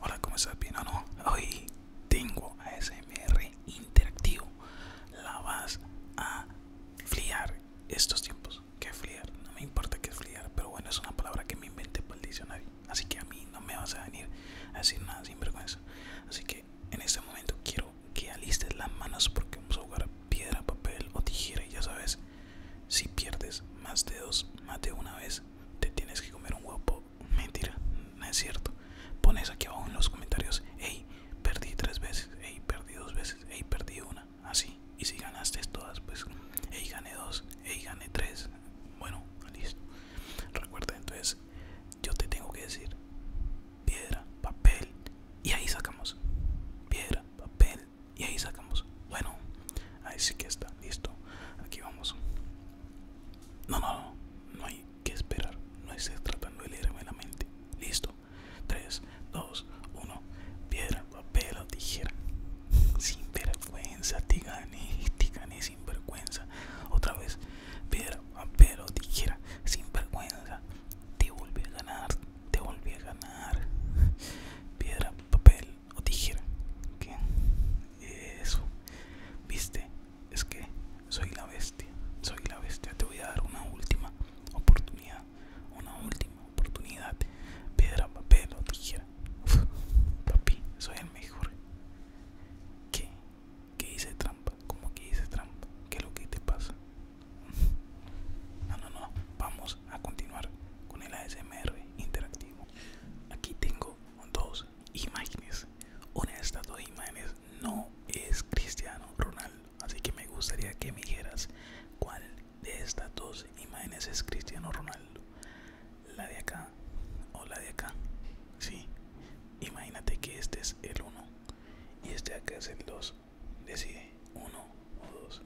Hola, ¿cómo estás, no? Hoy tengo ASMR interactivo. La vas a fliar estos tiempos. ¿Qué fliar? No me importa qué fliar, pero bueno, es una palabra que me invente para el diccionario. Así que a mí no me vas a venir a decir nada sin vergüenza. Así que en este momento quiero que alistes las manos porque vamos a jugar piedra, papel o tijera. Y ya sabes, si pierdes más de dos, más de una vez, te tienes que comer un guapo, Mentira, no es cierto. Pones aquí abajo en los comentarios, hey, perdí tres veces, hey, perdí dos veces, hey, perdí una, así. Y si ganaste todas, pues, hey, gané dos, hey, gané tres. Bueno, listo. Recuerda, entonces, yo te tengo que decir, piedra, papel, y ahí sacamos. Piedra, papel, y ahí sacamos. Bueno ahí sí que está listo aquí vamos no no no no hay que esperar no es tratando de leerme la mente listo 3 2 1 piedra papel o tijera sin vergüenza te gané te sin vergüenza otra vez piedra papel o tijera sin vergüenza te volví a ganar te volví a ganar piedra papel o tijera ¿Qué? Eh, eso Viste, es que soy la bestia Soy la bestia Te voy a dar una última oportunidad Una última oportunidad Pedra, papel o tijera Papi, soy el mejor ¿Qué? ¿Qué hice trampa? ¿Cómo que dice trampa? ¿Qué es lo que te pasa? No, no, no Vamos a continuar con el ASMR interactivo Aquí tengo dos imágenes. Una de estas dos imágenes no es Cristiano Ronaldo. Así que me gustaría que me dijeras cuál de estas dos imágenes es Cristiano Ronaldo. La de acá o la de acá. Sí. Imagínate que este es el 1 y este acá es el 2. Decide 1 o 2.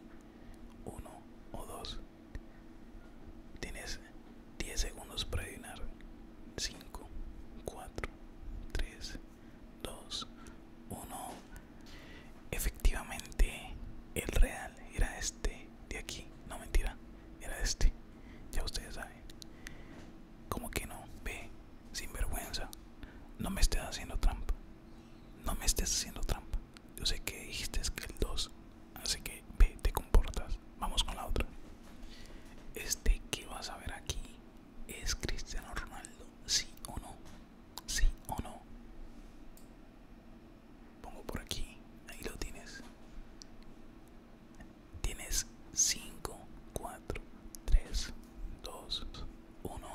1 o 2. Tienes 10 segundos para adivinar. 5, 4, 3, 2, 1. Efectivamente, el real era este de aquí. No mentira, era este. Ya ustedes saben. Como que no, ve, sin vergüenza. No me estés haciendo trampa. No me estés haciendo trampa. Yo sé que dijiste que el 2, así que te comportas. Vamos con la otra. Este que vas a ver aquí es Cristiano Ronaldo, sí o no, sí o no. Pongo por aquí, ahí lo tienes. Tienes 5, 4, 3, 2, 1.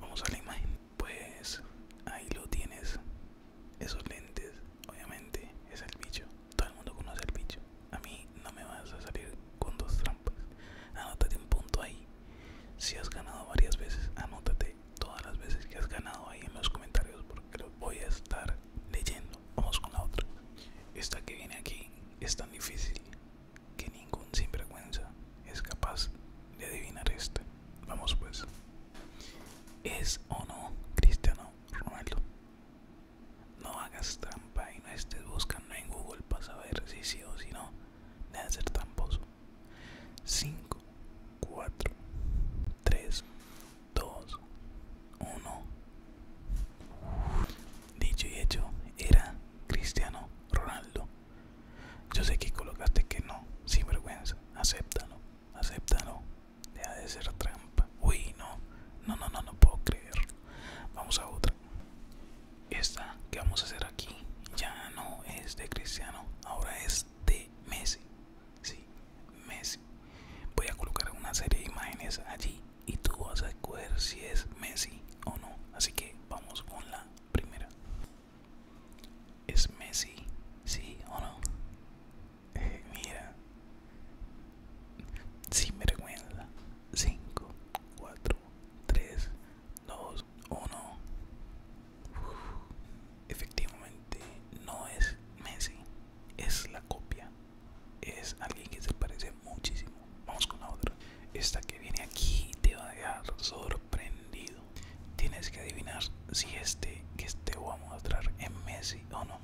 Vamos a la imagen pues ahí lo tienes. Esos lentes, obviamente, es el bicho. Todo el mundo conoce el bicho. A mí no me vas a salir con dos trampas. Anótate un punto ahí. Si has ganado varias veces, anótate todas las veces que has ganado ahí en los comentarios porque los voy a estar leyendo. Vamos con la otra. Esta que viene aquí es tan difícil que ningún sinvergüenza es capaz de adivinar esta. Vamos pues. ¿Es o no Cristiano Ronaldo? No hagas trampa y no estés buscando en Google para saber si sí o si no. Deja de ser tramposo. 5, 4, 3, 2, 1. Dicho y hecho, era Cristiano Ronaldo. Yo sé que colocaste que no, sin vergüenza, acéptalo acéptalo, deja de ser trampa. Uy, no, no, no, no, no puedo creerlo. Vamos a otra. Esta que vamos a hacer aquí ya no es de Cristiano, ahora es de Messi. Sí, Messi. Voy a colocar una serie de imágenes allí y tú vas a escoger si es Messi o no. Así que vamos con la primera. Es Messi, ¿sí o no? mira, mira. me vergüenza. 5, 4, 3, 2, 1. Efectivamente, no es Messi. Es la copia. Es alguien que se parece muchísimo. Vamos con la otra. Esta que viene aquí te va a dejar sorprendido. Tienes que adivinar si este que te este voy a mostrar es Messi o no.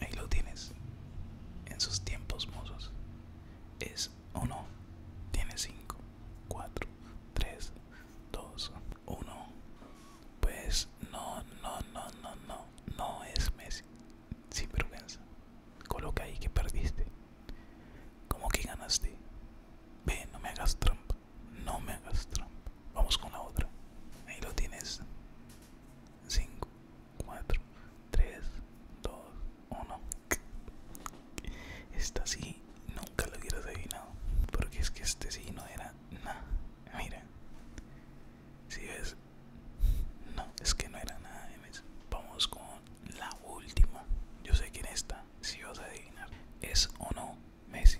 Ahí lo tienes. En sus tiempos mozos. Es o no. Tienes 5, 4, 3, 2, 1. Pues no, no, no, no, no. No es Messi. Sin vergüenza. Coloca ahí que perdiste. ¿Cómo que ganaste? Ve, no me hagas trampa. No me hagas trampa. Vamos con la otra. Ahí lo tienes. 5, 4, 3, 2, 1. Esta sí, nunca lo hubieras adivinado. Porque es que este sí no era nada. Mira. Si ves, no, es que no era nada. Vamos con la última. Yo sé quién está si vas a adivinar es o no Messi.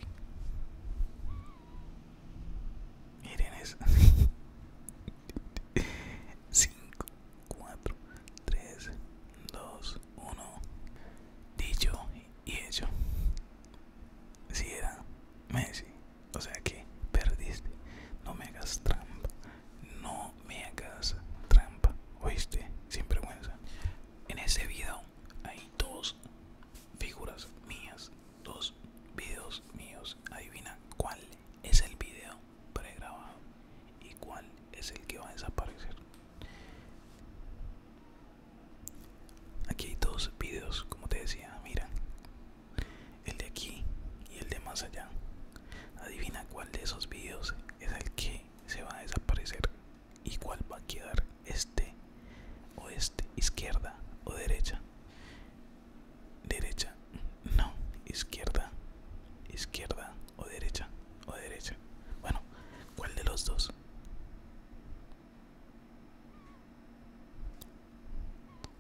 Miren eso. 5, 4, 3, 2, 1. Dicho y hecho. Si era Messi. O sea que perdiste. No me hagas trampa. No me hagas trampa, oíste, sin vergüenza. En ese video hay dos figuras mías, dos videos míos. Adivina cuál es el video pregrabado y cuál es el que va a desaparecer. Aquí hay dos videos, como te decía, mira. El de aquí y el de más allá. Adivina cuál de esos videos es el que se va a desaparecer ¿y cuál va a quedar este o este izquierda o derecha derecha no izquierda izquierda o derecha o derecha bueno cuál de los dos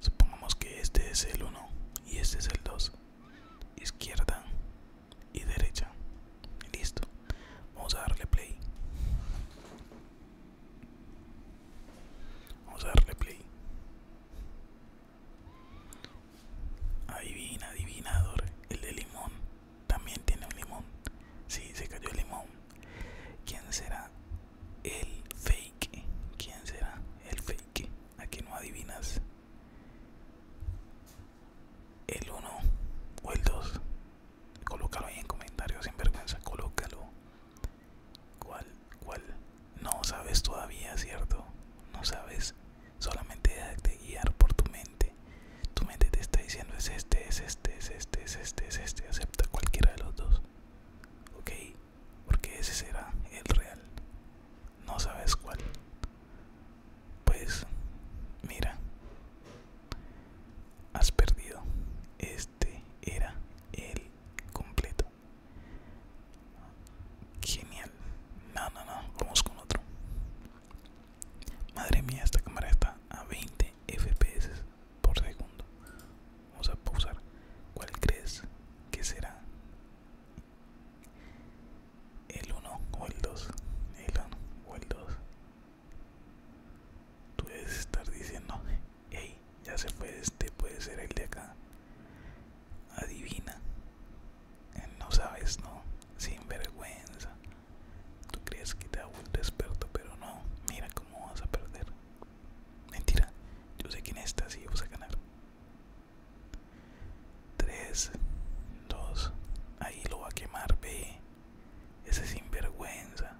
supongamos que este es el 1 y este es el 2 izquierda y derecha listo vamos a darle play vamos a darle play adivina adivinador el de limón también tiene un limón si se cayó el limón quién será el fake quién será el fake aquí no adivinas el 1 o el 2 colócalo ahí en comentarios sin vergüenza colócalo cuál cuál no sabes todavía cierto no sabes solamente déjate guiar por tu mente tu mente te está diciendo es este es este es este es este es este acepta cualquiera de los dos ok porque ese será el real no sabes cuál pues mira has perdido este era el completo genial no no no vamos con otro madre mía esta cámara está a 20 fps por segundo vamos a pausar cuál crees que será el 1 o el 2 el 1 o el 2 tú debes estar diciendo hey ya se fue este puede ser el de acá adivina eh, no sabes no sin vergüenza tú crees que te hago un desperto pero no mira cómo vas a perder mentira yo sé quién está, y vas a ganar 3, 2, ahí lo va a quemar, ve. Ese sinvergüenza.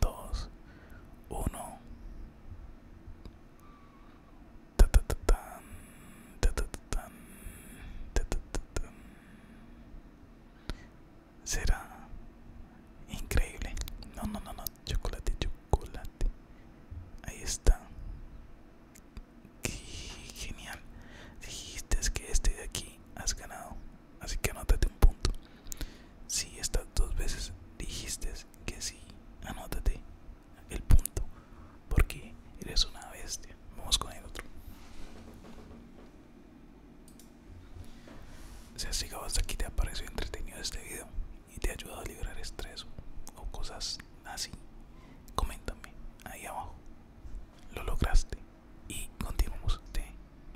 2, 1. Será increíble. No, no, no, no. Chocolate, chocolate. Ahí está. Qué genial. Dijiste que este de aquí has ganado. Así que anótate un punto. Si estas dos veces dijiste que sí, anótate el punto. Porque eres una bestia. Vamos con el otro. Si has llegado hasta aquí te ha parecido entretenido este video y te ayuda a liberar estrés o cosas así, coméntame ahí abajo. Lo lograste. Y continuamos.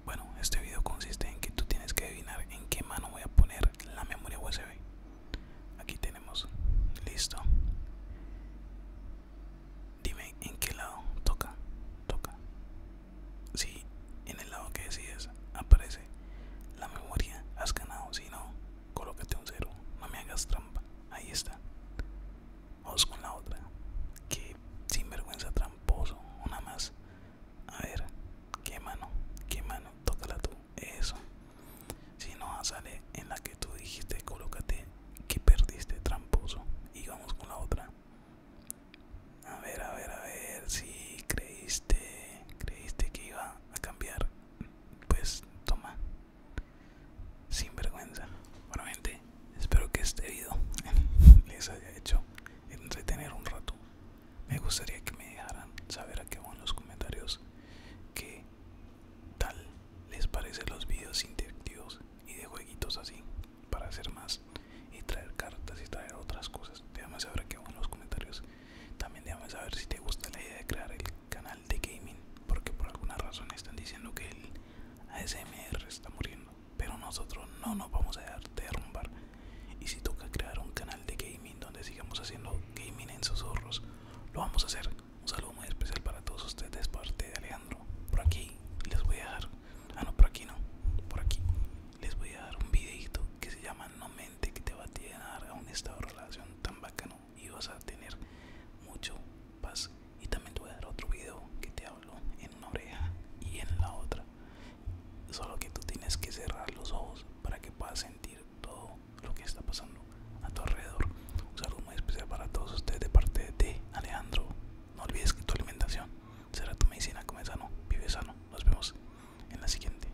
bueno, este video consiste en que tú tienes que adivinar en qué mano voy a poner la memoria USB. Aquí tenemos. Listo. Dime en qué lado toca. Toca. Si en el lado que decides aparece la memoria, has ganado. Si no, colócate un cero, no me hagas trampa, ahí está. Vamos con la otra, que sinvergüenza tramposo, una más. A ver, qué mano, qué mano, tócala tú, eso. Si no sale en la que tú dijiste, colócate que perdiste tramposo. Y vamos con la otra. A ver, a ver, a ver, si creíste, creíste que iba a cambiar pues toma sin vergüenza bueno espero que este vídeo les haya hecho entretener un rato me gustaría que me dejaran saber qué qué en los comentarios qué tal les parecen los vídeos interactivos y de jueguitos así para hacer más y traer cartas y traer otras cosas déjame saber qué van en los comentarios también déjame saber si te gusta la idea de crear el canal de gaming porque por alguna razón están diciendo que el ASMR está muriendo pero nosotros no nos vamos a dejar derrumbar y si toca crear un canal de gaming donde sigamos haciendo gaming en sus zorros, lo vamos a hacer un saludo muy especial para todos ustedes parte de Alejandro por aquí les voy a dar ah no por aquí no por aquí les voy a dar un videito que se llama no me que te va a tirar a un estado de relación tan bacano y vas a tener mucho paz y también te voy a dar otro video que te hablo en una oreja y en la otra solo que tú tienes que cerrar los ojos para que puedas sentir todo lo que está pasando a tu alrededor un saludo muy especial para todos ustedes de parte de Alejandro no olvides que tu alimentación será tu medicina come sano vive sano nos vemos en la siguiente